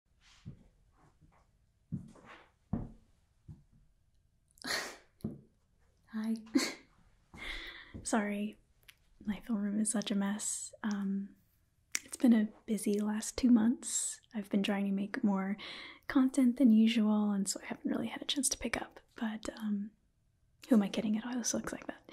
Hi. Sorry, my film room is such a mess. Um, it's been a busy last two months. I've been trying to make more content than usual, and so I haven't really had a chance to pick up. But um, who am I kidding? It always looks like that.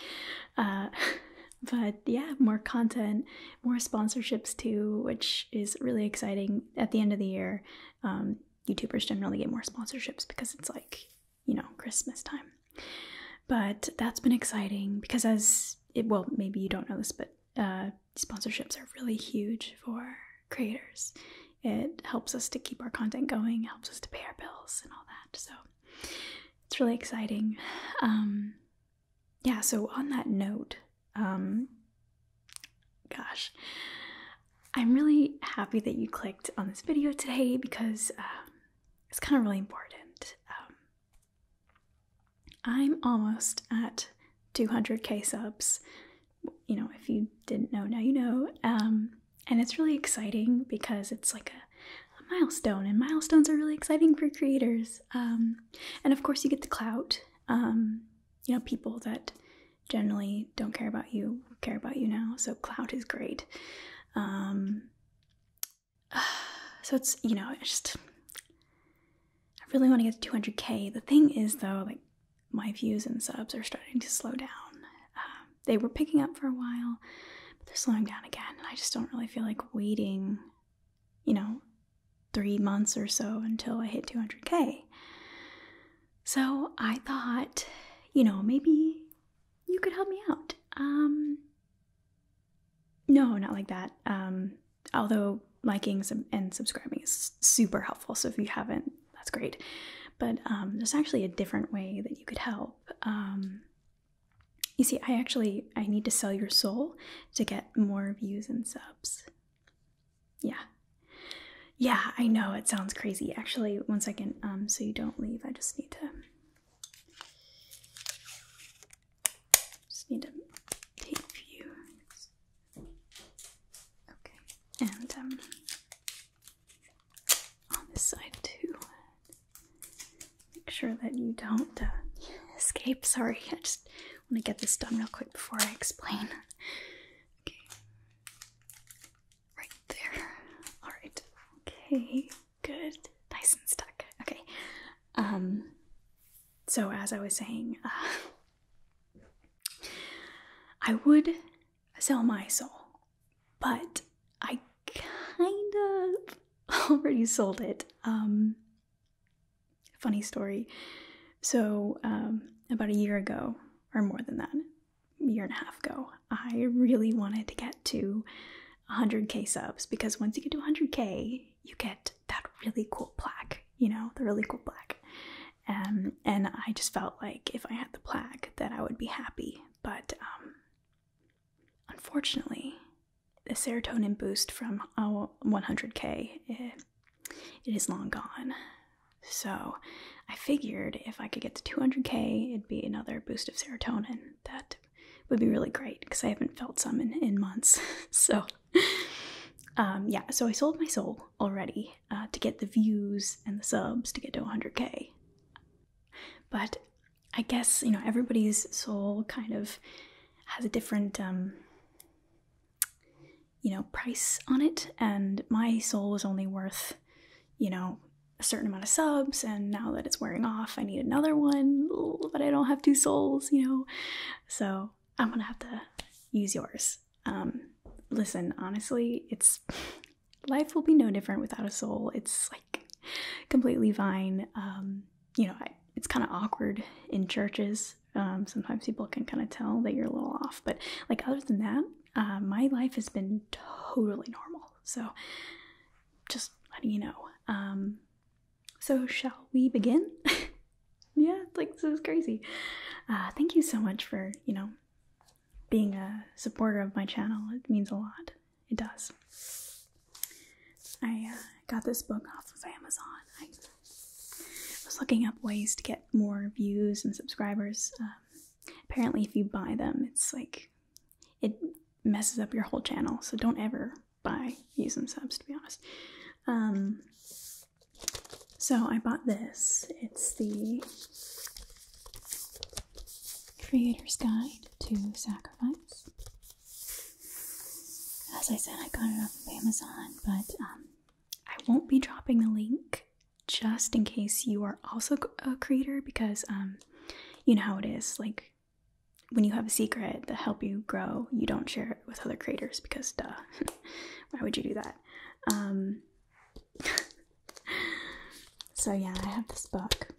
Uh, but yeah, more content more sponsorships too, which is really exciting. At the end of the year, um, YouTubers generally get more sponsorships because it's like, you know, Christmas time. But that's been exciting because, as it, well, maybe you don't know this, but uh, sponsorships are really huge for creators. It helps us to keep our content going, helps us to pay our bills, and all that. So it's really exciting. Um, yeah, so on that note, um, gosh, I'm really happy that you clicked on this video today because um, it's kind of really important. Um, I'm almost at 200k subs. You know, if you didn't know, now you know. Um, and it's really exciting because it's like a, milestone, and milestones are really exciting for creators. and of course, you get the clout um, you know, people that generally don't care about you care about you now. So cloud is great. Um, so it's you know, it's just I really want to get to 200k. The thing is though, like my views and subs are starting to slow down. Uh, they were picking up for a while, but they're slowing down again, and I just don't really feel like waiting you know, three months or so until I hit 200K. So I thought, you know, maybe you could help me out. Um, no, not like that. Um, although liking and subscribing is super helpful. So if you haven't, that's great. But um, there's actually a different way that you could help. Um, you see, I actually I need to sell your soul to get more views and subs. Yeah. Yeah, I know it sounds crazy. Actually, one second, um, so you don't leave. I just need to just need to tape you. Okay, and um, on this side too. Make sure that you don't uh, escape. Sorry, I just I want to get this done real quick before I explain. Okay. Right there. Alright. Okay. Good. Nice and stuck. Okay. Um so as I was saying, uh, I would sell my soul, but I kind of already sold it. Um funny story. So, um, about a year ago, or more than that, year and a half ago, I really wanted to get to 100k subs because once you get to 100k, you get that really cool plaque, you know, the really cool plaque. Um, and I just felt like if I had the plaque, that I would be happy. But um, unfortunately, the serotonin boost from 100k it is long gone. So I figured if I could get to 200k, it'd be another boost of serotonin. That would be really great because I haven't felt some in, in months. so, um, yeah, so I sold my soul already uh, to get the views and the subs to get to 100k. But I guess, you know, everybody's soul kind of has a different um, you know, price on it, and my soul was only worth, you know, a certain amount of subs, and now that it's wearing off, I need another one, but I don't have two souls, you know, so I'm gonna have to use yours. Um, listen, honestly, it's life will be no different without a soul. It's like completely fine. Um, you know, it's kind of awkward in churches um, sometimes people can kind of tell that you're a little off but like other than that uh, my life has been totally normal so just letting you know um, so shall we begin yeah like this is crazy uh, thank you so much for you know being a supporter of my channel it means a lot it does i uh, got this book off of amazon I was looking up ways to get more views and subscribers. Um, apparently, if you buy them, it's like it messes up your whole channel, so don't ever buy views and subs, to be honest. Um, so I bought this. It's the Creator's Guide to Sacrifice. As I said, I got it off of Amazon, but um, I won't be dropping the link just in case you are also a creator because um you know how it is like when you have a secret that help you grow, you don't share it with other creators because duh. Why would you do that? Um So yeah, I have this book.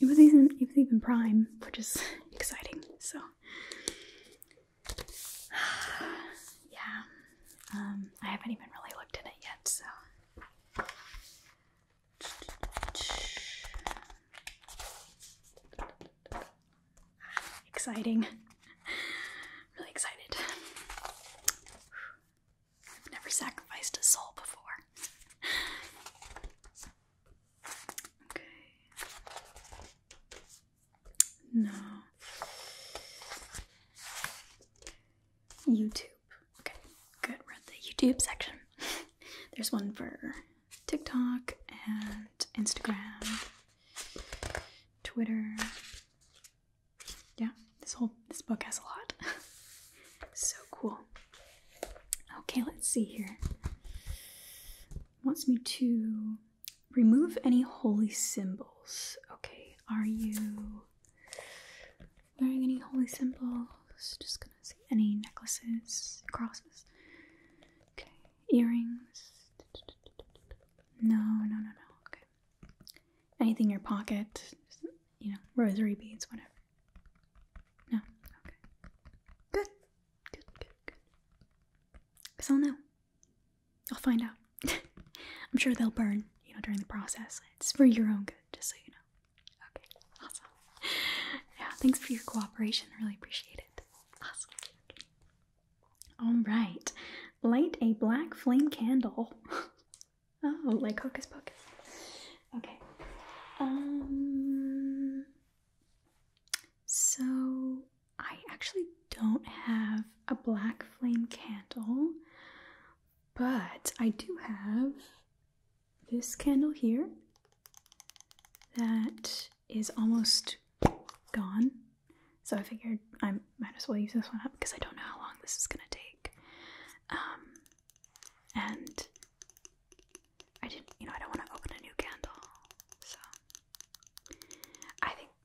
It was even it was even prime, which is exciting. So yeah. Um, I haven't even really looked at it yet, so. Exciting. really excited. I've never sacrificed a soul before. Okay. No. YouTube. Okay, good. Read the YouTube section. There's one for TikTok and Instagram, Twitter. Yeah, this whole this book has a lot. so cool. Okay, let's see here. wants me to Remove any holy symbols. Okay, are you wearing any holy symbols? Just gonna see any necklaces, crosses. Okay, earrings. No, no, no, no. Okay. Anything in your pocket? Just, you know, rosary beads, whatever. No. Okay. Good. Good. Good. Good. Cause I'll know. I'll find out. I'm sure they'll burn, you know, during the process. It's for your own good, just so you know. Okay, awesome. Yeah, thanks for your cooperation. Really appreciate it. Awesome. Okay. All right. Light a black flame candle. oh, like Hocus Pocus. Okay. Um. So I actually don't have a black flame candle, but I do have this candle here that is almost gone. So I figured I might as well use this one up because I don't know how long this is gonna take. Um, and I didn't, you know, I don't want to open a new candle, so I think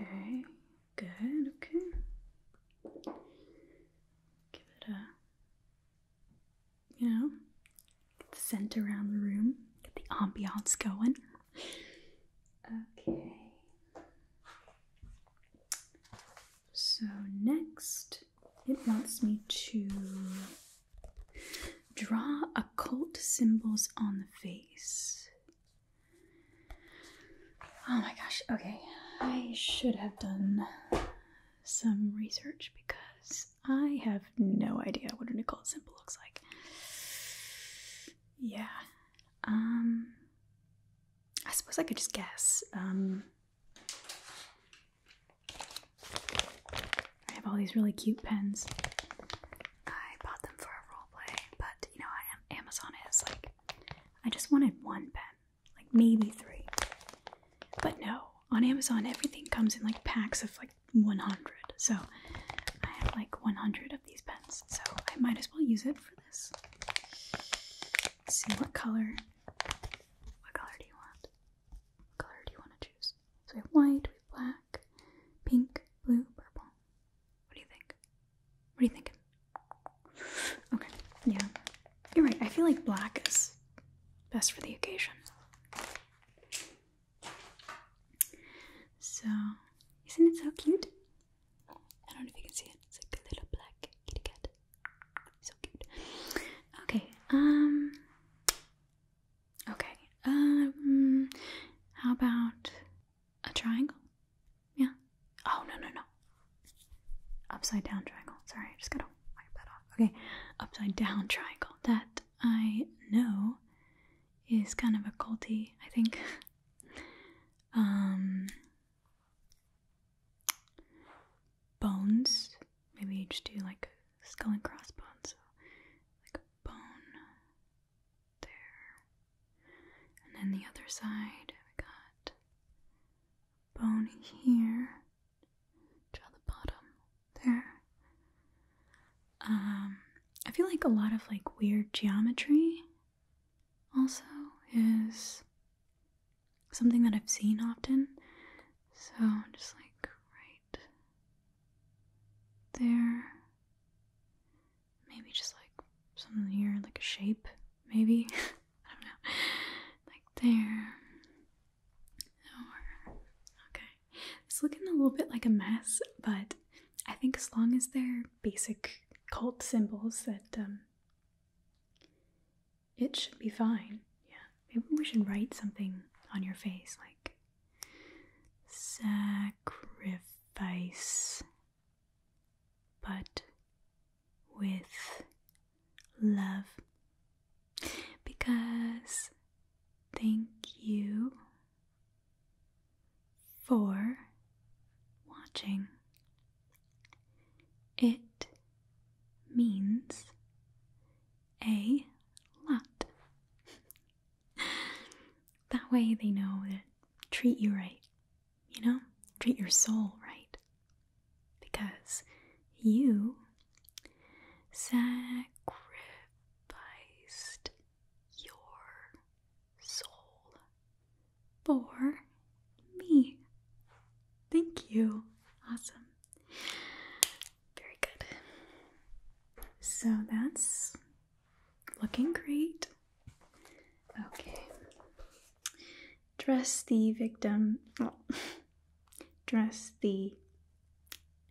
Okay, good, okay. Give it a, you know, get the scent around the room, get the ambiance going. Okay. So next, it wants me to Draw occult symbols on the face. Oh my gosh, okay. I should have done some research because I have no idea what an occult symbol looks like. Yeah. Um I suppose I could just guess. Um I have all these really cute pens. I bought them for a roleplay, but you know, Amazon is like, I just wanted one pen, like maybe three. But no, on Amazon, everything comes in like packs of like 100. So I have like 100 of these pens, so I might as well use it for this. see what color. What color do you want? What color do you want to choose? So we have white, we have black, pink, blue, purple. What do you think? What are you thinking? Okay, yeah. You're right, I feel like black is best for the occasion. So, isn't it so cute? I don't know if you can see it. It's like a little black kitty cat. So cute. Okay, um, Okay. Um, how about a triangle? Yeah. Oh, no, no, no. Upside down triangle. Sorry, I just gotta wipe that off. Okay. Upside down triangle. That I know is kind of a culty, I think. um, bones. Maybe you just do like skull and crossbones. like bone there. And then the other side, we got bone here. Draw the bottom there. Um, I feel like a lot of like weird geometry also is something that I've seen often. So just like right there. Maybe just like something here, like a shape, maybe. I don't know. Like there. okay. It's looking a little bit like a mess, but I think as long as they're basic cult symbols, that um, it should be fine. Yeah. Maybe we should write something on your face, like sacrifice, but with love. Because thank you for watching. It means a lot. that way they know that treat you right, you know? Treat your soul right. Because you sacrificed your soul for me. Thank you. Awesome. Very good. So that's Looking great. Okay. Dress the victim. Oh. Dress the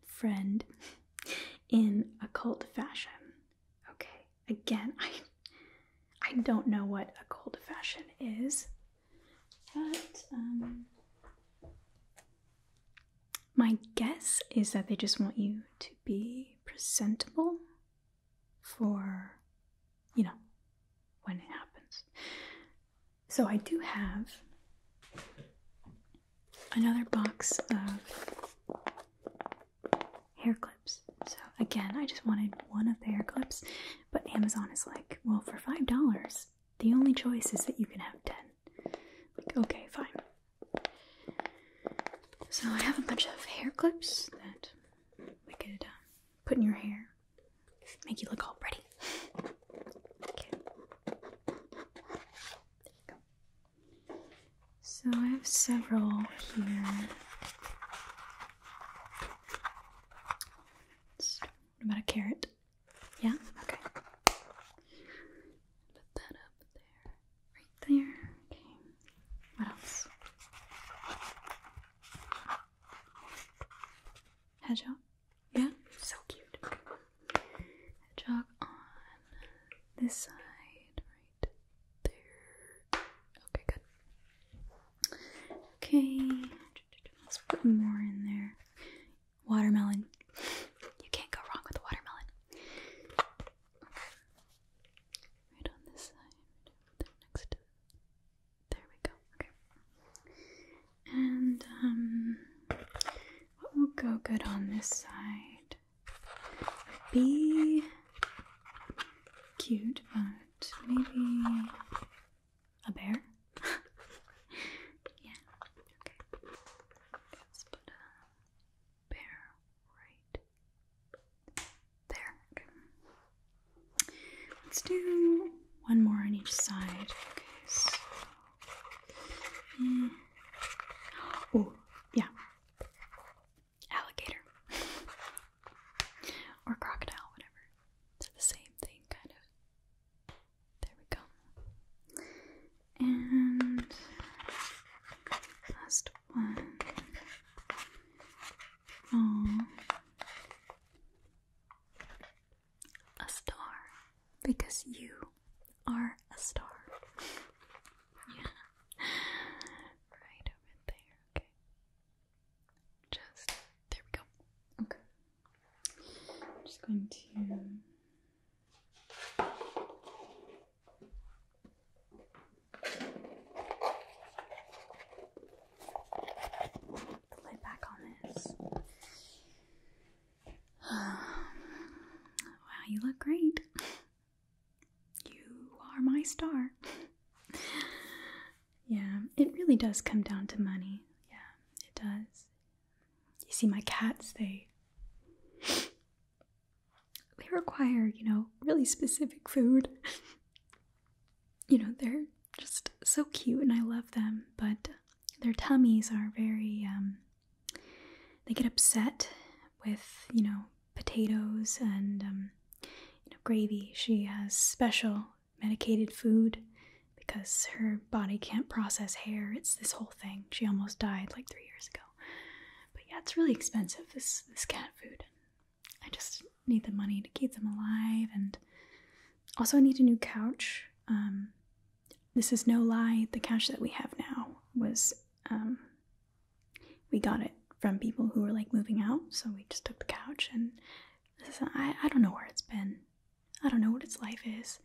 friend in occult fashion. Okay. Again, I I don't know what occult fashion is, but um my guess is that they just want you to be presentable for, you know, when it happens. So I do have another box of hair clips. So again, I just wanted one of the hair clips, but Amazon is like, well, for $5, the only choice is that you can have 10. Like, okay, fine. So I have a bunch of hair clips that we could um, put in your hair, make you look all pretty. Okay. There you go. So I have several here. What about a carrot? Yeah? Okay. Put that up there. Right there. Okay. What else? Hedgehog. Yeah, so cute. Hedgehog on this side, right there. Okay, good. Okay, let's put more in there. Watermelon. You can't go wrong with the watermelon. Right on this side, right next to there we go. Okay. And um what will go good on this side? Be cute, but maybe a bear? yeah, okay bear right there. Let's do one more on each side. Okay, mm. Oh, yeah. Alligator. or crocodile, whatever. They're the same thing, kind of. There we go. And last one. A star. Because you are a star. yeah. Right over there. Okay. Just there we go. Okay. I'm just going to the lid back on this. wow, you look great. You are my star. yeah, it really does come down to money. Yeah, it does. You see, my cats, they they require, you know, really specific food. you know, they're just so cute and I love them, but their tummies are very, um, they get upset with, you know, potatoes and, um, you know, gravy. She has special medicated food because her body can't process hair. It's this whole thing. She almost died like three years ago. But yeah, it's really expensive this this cat food. I just need the money to keep them alive, and also I need a new couch. Um, this is no lie. The couch that we have now was um, we got it from people who were like moving out, so we just took the couch and is, I I don't know where it's been. I don't know what its life is,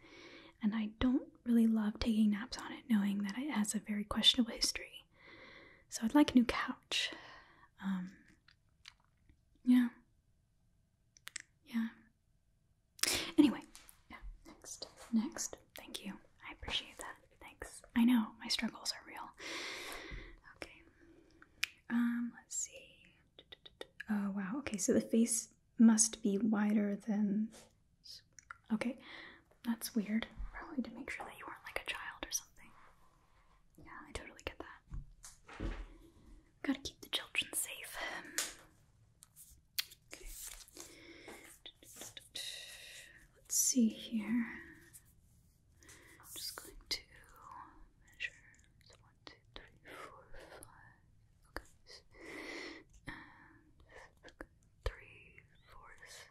and I don't really love taking naps on it, knowing that it has a very questionable history. So I'd like a new couch. Um, yeah. Yeah. Anyway, next. Next. Thank you. I appreciate that. Thanks. I know my struggles are real. Okay. Um, let's see. Oh, wow. Okay, so the face must be wider than Okay, that's weird. Probably to make sure that you weren't like a child or something. Yeah, I totally get that. Gotta keep the children safe. Okay. Let's see here. I'm just going to measure one, two, three, four, five, okay. three fourths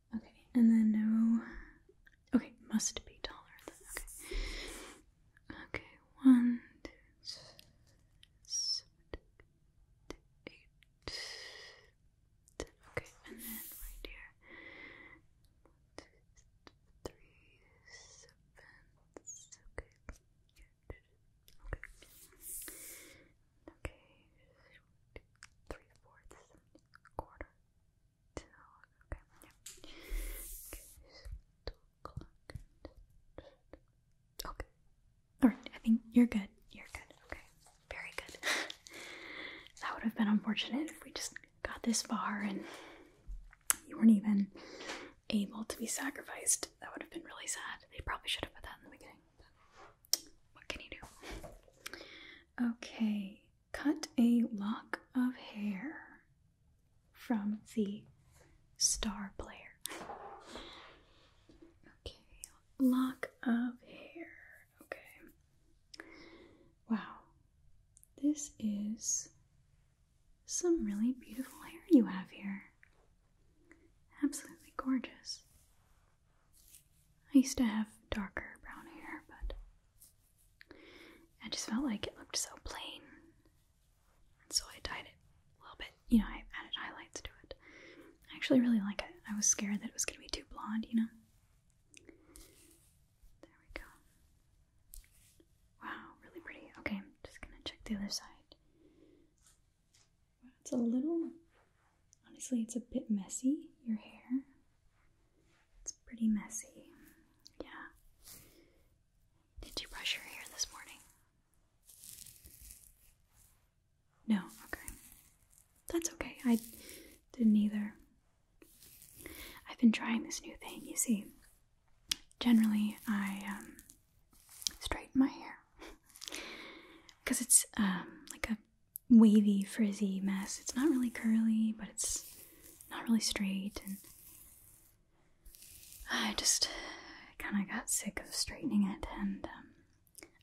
Okay, and then no. Okay, must be taller than. that. Okay, one, two, Okay, and then right here. One, two, three, seven. Okay. Okay, three fourths, quarter, Okay, yeah. Okay, two o'clock. Okay. All right. I think you're good. You're good. Okay. Very good. that would have been unfortunate if we just got this far and you weren't even able to be sacrificed. That would have been really sad. They probably should have put that in the beginning what can you do? Okay, cut a lock of hair from the star player. Okay, lock of hair. Okay. Wow, this is some really beautiful hair you have here. Absolutely gorgeous. I used to have darker brown hair, but I just felt like it looked so plain. so I dyed it a little bit. You know, I added highlights to it. I actually really like it. I was scared that it was going to be too blonde, you know? There we go. Wow, really pretty. Okay, I'm just going to check the other side. It's a little Honestly, it's a bit messy, your hair. It's pretty messy. Yeah. Did you brush your hair this morning? No, okay. That's okay. I didn't either. I've been trying this new thing, you see. Generally, I um, straighten my hair because it's um, like a wavy, frizzy mess. It's not really curly, but it's not really straight. And I just kind of got sick of straightening it, and um,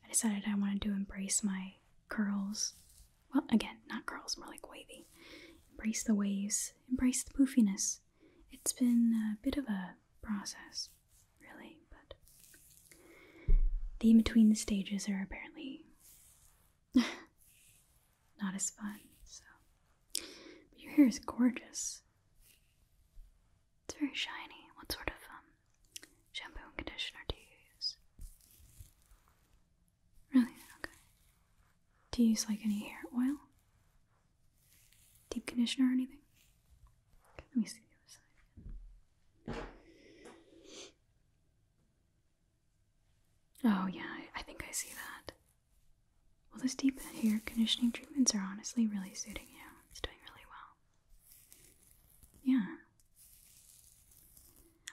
I decided I wanted to embrace my curls. Well, again, not curls, more like wavy. Embrace the waves, embrace the poofiness. It's been a bit of a process, really, but the in between the stages are apparently Not as fun, so. your hair is gorgeous. It's very shiny. What sort of um, shampoo and conditioner do you use? Really? Okay. Do you use like any hair oil? Deep conditioner or anything? let me see the other side. Oh, yeah, I, think I see that. Well, this deep hair conditioning treatments are honestly really suiting you. It's doing really well. Yeah.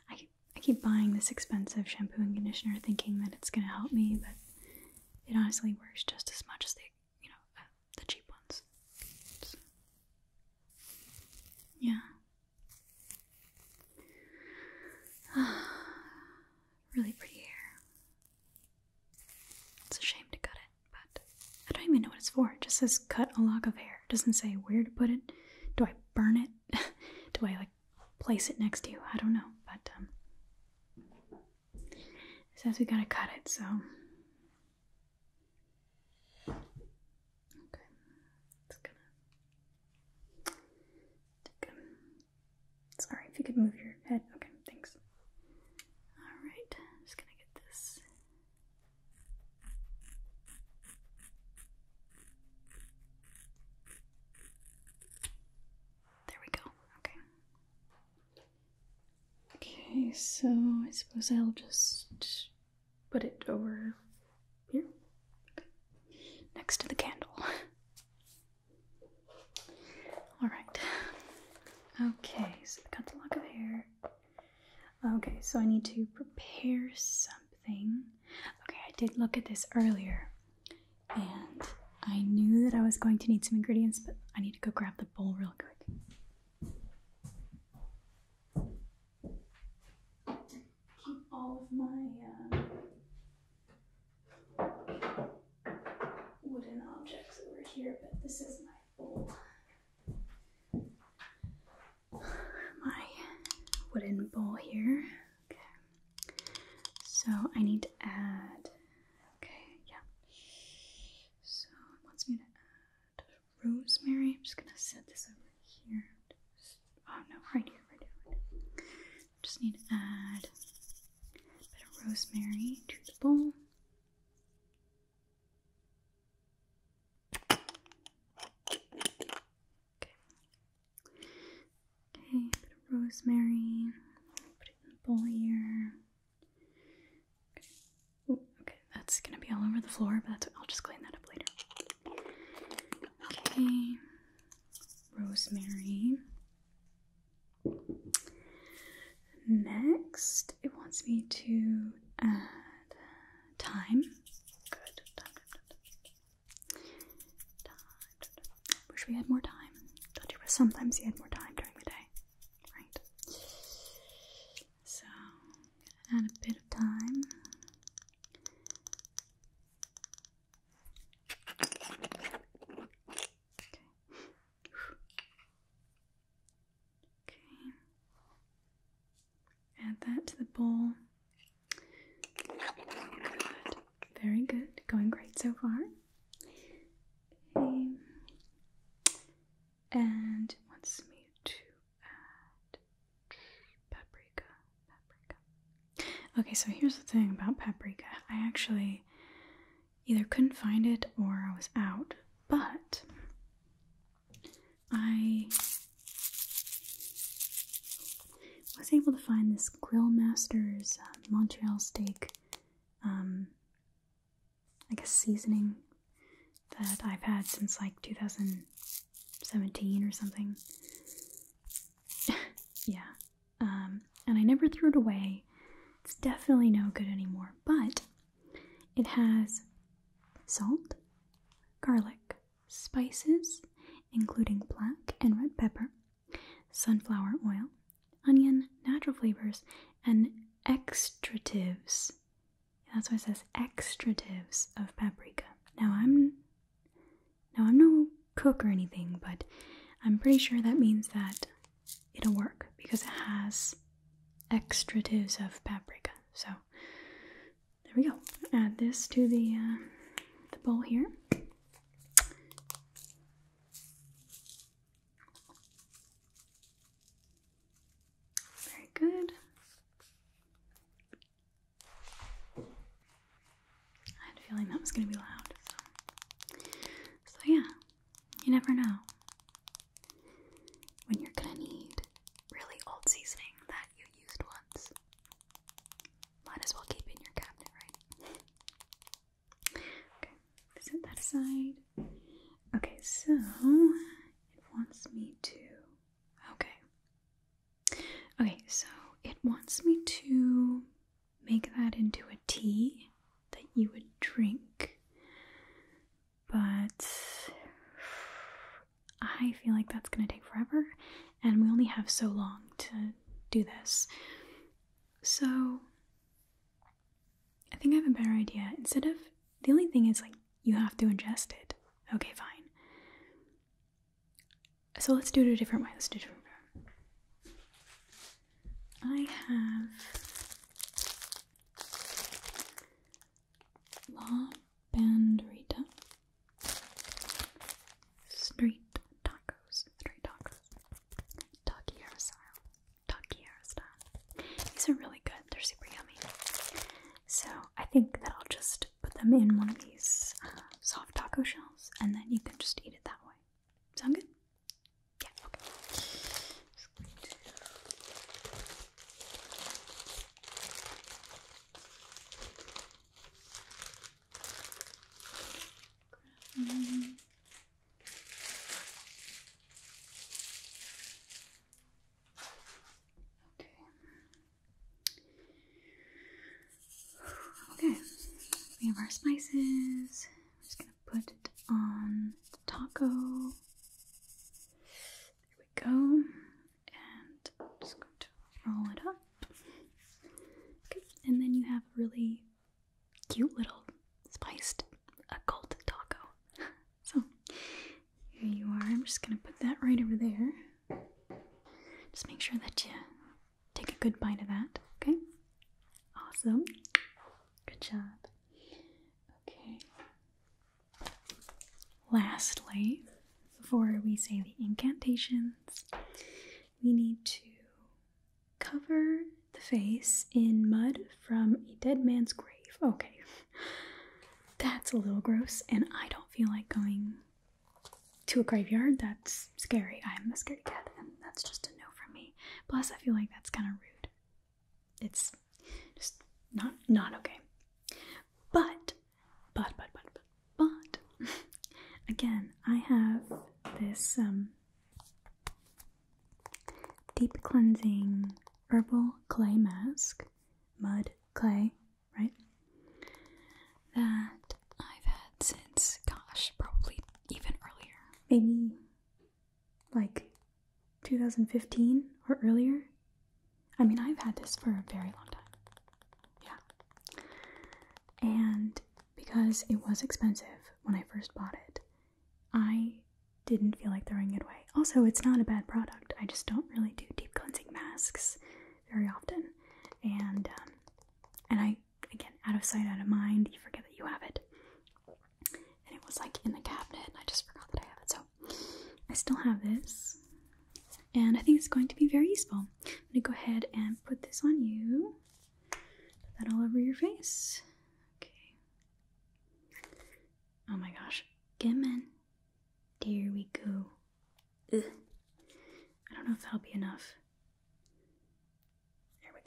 I, I keep buying this expensive shampoo and conditioner thinking that it's going to help me, but it honestly works just as much as the, you know, uh, the cheap ones. Yeah. really pretty hair. It's a shame to cut it, but I don't even know what it's for. It just says cut a lock of hair. It doesn't say where to put it. Do I burn it? Do I like place it next to you? I don't know, but um it says we gotta cut it, so Okay, it's gonna. Take Sorry, if you could move your head. Okay, thanks. Alright, just gonna get this. There we go. Okay. Okay, so I suppose I'll just put it over here, next to the candle. All right. Okay, so I've got the lock of hair. Okay, so I need to prepare something. Okay, I did look at this earlier, and I knew that I was going to need some ingredients, but I need to go grab the bowl real quick keep all of my um, wooden objects over here, but this is my My wooden bowl here. Okay. So I need to add. Okay, yeah. So it wants me to add rosemary. I'm just gonna set this over here. Just, oh no, right here, i here, right here. Just need to add a bit of rosemary to the bowl. Okay, a bit of rosemary. Put it in the bowl here. Okay, okay. that's gonna be all over the floor, but that's, I'll just clean that up later. Okay, rosemary. Next, it wants me to add thyme. Good. Time, Wish we had more time. do you? Sometimes you had more time during the day, right? So, add a bit of time. Okay. Add that to the bowl. Very good. Going great so far. Okay. And wants me to add Paprika, paprika. Okay, so here's the thing about paprika. I actually either couldn't find it or I was out, but I was able to find this Grill Masters um, Montreal steak, um, I guess seasoning that I've had since like 2000. 17 or something. yeah. Um, and I never threw it away. It's definitely no good anymore, but it has salt, garlic, spices, including black and red pepper, sunflower oil, onion, natural flavors, and extratives. That's why it says extratives of paprika. Now, I'm now, I'm no cook or anything, but I'm pretty sure that means that it'll work because it has extratives of paprika. So, there we go. Add this to the, uh, the bowl here. Very good. I had a feeling that was going to be loud. So. yeah, you never know when you're going to need really old seasoning that you used once. Might as well keep in your cabinet, right? okay, set that aside. Okay, so it wants me to. Okay, Okay, so it wants me to make that into a tea that you would drink, but I feel like that's gonna take forever, and we only have so long to do this. So I think I have a better idea. Instead of the only thing is like you have to ingest it. Okay, fine. So let's do it a different way. Let's do it different way. I have La Banderita Street Tacos. Street tacos. Takiara style. Takiara style. These are really good. They're super yummy. So I think that I'll just put them in one of these uh, soft taco shells and then you can just eat it that way. Sound good? Okay. Okay, we have our spices. I'm just gonna put it on the taco. There we go. And I'm just going to roll it up. Okay, and then you have a really cute little spiced occult taco. so here you are. I'm just gonna put that right over there. Just make sure that you take a good bite of that, okay? Awesome. Good job. Okay. Lastly, before we say the incantations, we need to cover the face in mud from a dead man's grave. Okay. That's a little gross, and I don't feel like going to a graveyard, that's scary. I'm a scaredy cat, and that's just a no from me. Plus, I feel like that's kind of rude. It's just not not okay. But, but, but, but, but, but, again, I have this um, deep cleansing herbal clay mask, mud clay right? That I've had since, gosh, probably even earlier. Maybe like 2015 or earlier. I mean, I've had this for a very long time. Yeah. And because it was expensive when I first bought it, I didn't feel like throwing it away. Also, it's not a bad product. I just don't really do deep cleansing masks very often, and um, and I again out of sight, out of mind. You forget that you have it, and it was like in the cabinet, and I just forgot that I have it. So I still have this, and I think it's going to be very useful. I'm gonna go ahead and put this on you. Put that all over your face. Okay. Oh my gosh, Gimme. There we go. I don't know if that'll be enough. There we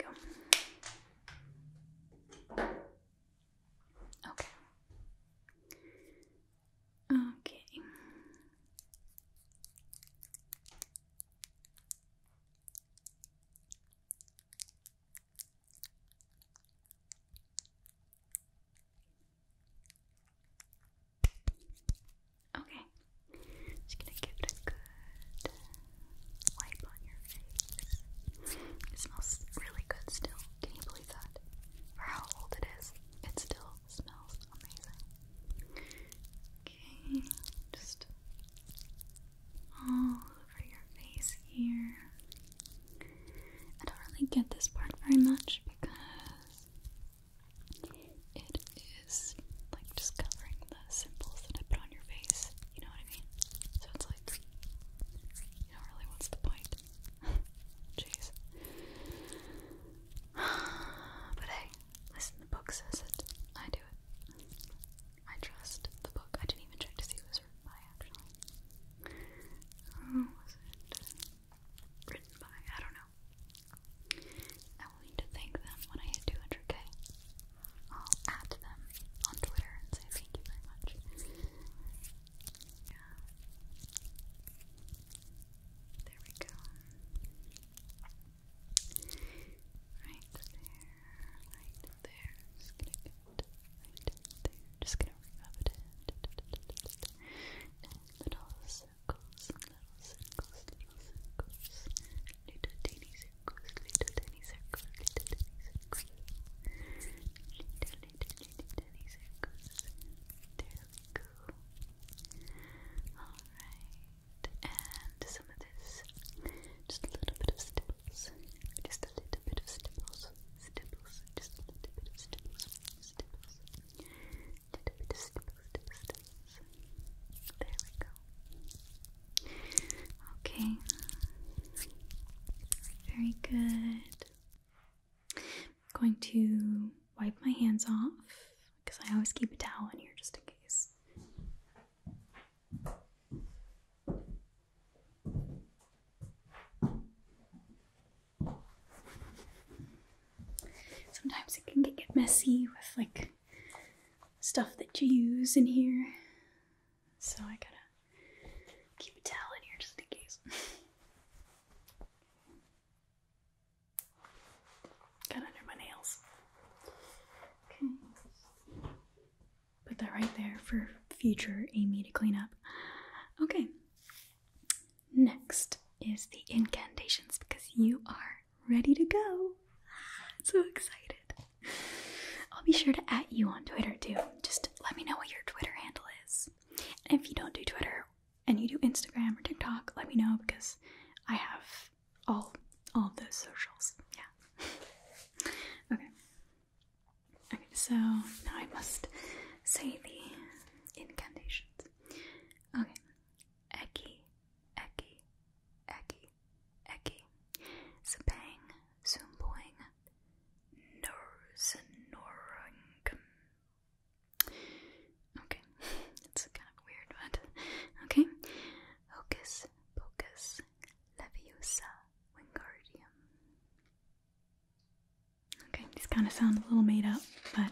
go. Okay. Okay. Okay, just gonna give it a good wipe on your face. It smells really good still. Can you believe that? For how old it is, it still smells amazing. Okay, just all over your face here. I don't really get this part very much because it is like just covering the symbols that I put on your face. You know what I mean? So it's like, you know, really, what's the point? Jeez. but hey, listen, the book says it. I do it. I trust the book. I didn't even check to see who was written by, actually. Oh, was it? written by, I don't know. I will need to thank them when I hit 200k. I'll add them on Twitter and say thank you very much. Yeah. There we go. Right there, right there. Just gonna get right there. Just gonna rub it in. A little circles, little circles, little little tiny circles, little tiny circles, little tiny circles, little little little tiny circles. There we All right, and some of this, just a little bit of stipples, just a little bit of stipples, stipples, just a little bit of stipples, stipples. There we go. Okay. Very good. I'm going to wipe my hands off because I always keep a towel in here just in case. Sometimes it can get messy with like stuff that you use in here. So I gotta keep a towel in here just in case. Got under my nails. Okay. Put that right there for future Amy to clean up. Okay. Next is the incantations because you are ready to go. So excited. I'll be sure to at you on Twitter too. Just let me know what your Twitter handle is. And if you don't do Twitter and you do Instagram or TikTok, let me know because I have all all of those socials. Yeah. okay. Okay, so now I must say the incantations. Okay. Eki Eki, Eki, Eki, Zabang, Zoomboing, Norsenorungum. Okay, it's kind of weird, but okay. Hocus Pocus Leviosa Wingardium. Okay, these kind of sound a little made up, but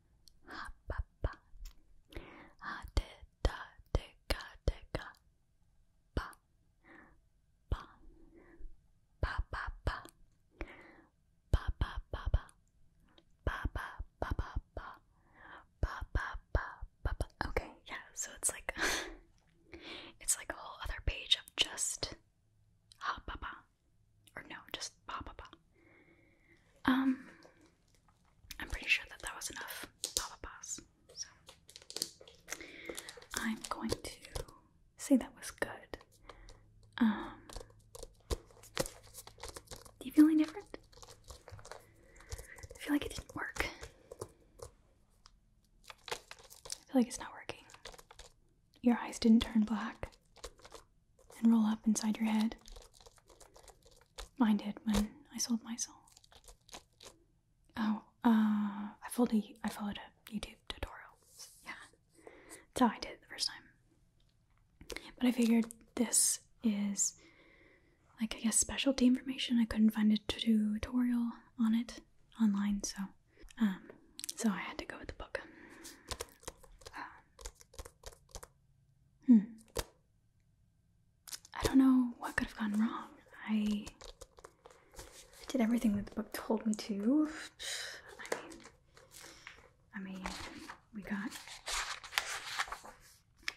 ha pa pa ha de da de ga de ga pa pa pa pa pa pa pa pa pa pa pa pa pa pa pa pa pa pa pa okay yeah so it's like it's like a whole other page of just ha pa pa or no just pa pa pa um I'm pretty sure that that was enough Papa Pass. So I'm going to say that was good. Um, do you feel any different? I feel like it didn't work. I feel like it's not working. Your eyes didn't turn black and roll up inside your head. Mine did when I sold my soul. Oh, uh, I followed a, I followed a YouTube tutorial. Yeah, that's how I did it the first time. But I figured this is like I guess specialty information. I couldn't find a tutorial on it online, so um, so I had to go with the book. Um, hmm. I don't know what could have gone wrong. I did everything that the book told me to. I mean, I mean, we got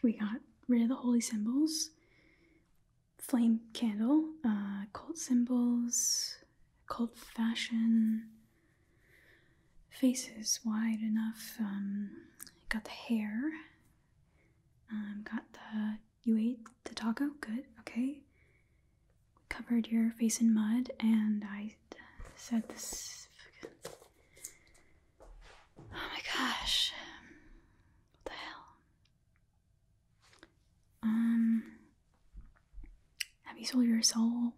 we got rid of the holy symbols, flame candle, uh, cult symbols, cult fashion, Faces wide enough. Um, got the hair. Um, got the. You ate the taco? Good, okay. Covered your face in mud, and I said this. Oh my gosh. What the hell? Um. Have you sold your soul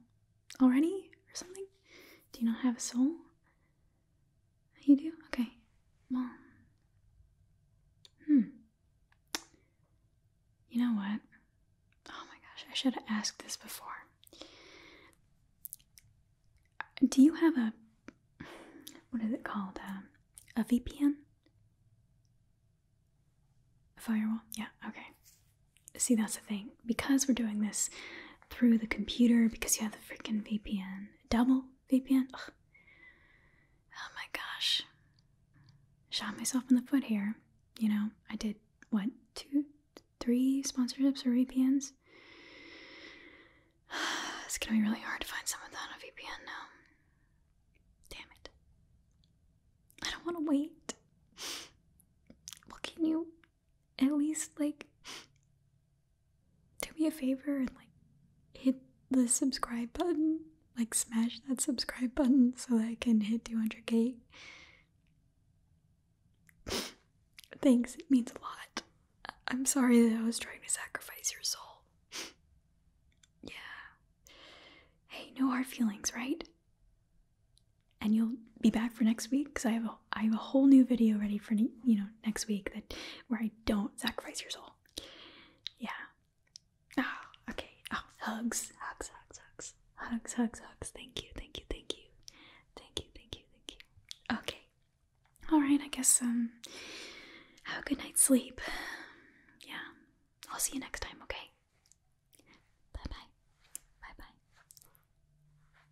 already or something? Do you not have a soul? You do? Okay. Well, hmm. You know what? Oh my gosh, I should have asked this before. Do you have a what is it called? Um, a VPN? A firewall? Yeah, okay. See, that's the thing. Because we're doing this through the computer because you have the freaking VPN. Double VPN? Oh my gosh. Shot myself in the foot here. You know, I did what, two, three sponsorships or VPNs? It's gonna be really hard to find someone on a VPN now. Damn it. I don't wanna wait. Well, can you at least like do me a favor and like hit the subscribe button like smash that subscribe button so that i can hit 200k thanks it means a lot i'm sorry that i was trying to sacrifice your soul yeah hey no hard feelings right and you'll be back for next week because i have a I have a whole new video ready for you know next week that where I don't sacrifice your soul. Yeah. Ah, oh, okay. Oh, hugs, hugs, hugs, hugs, hugs, hugs, hugs. Thank you, thank you, thank you, thank you, thank you, thank you. Okay. All right. I guess um, have a good night's sleep. Yeah. I'll see you next time. Okay. Bye bye. Bye bye.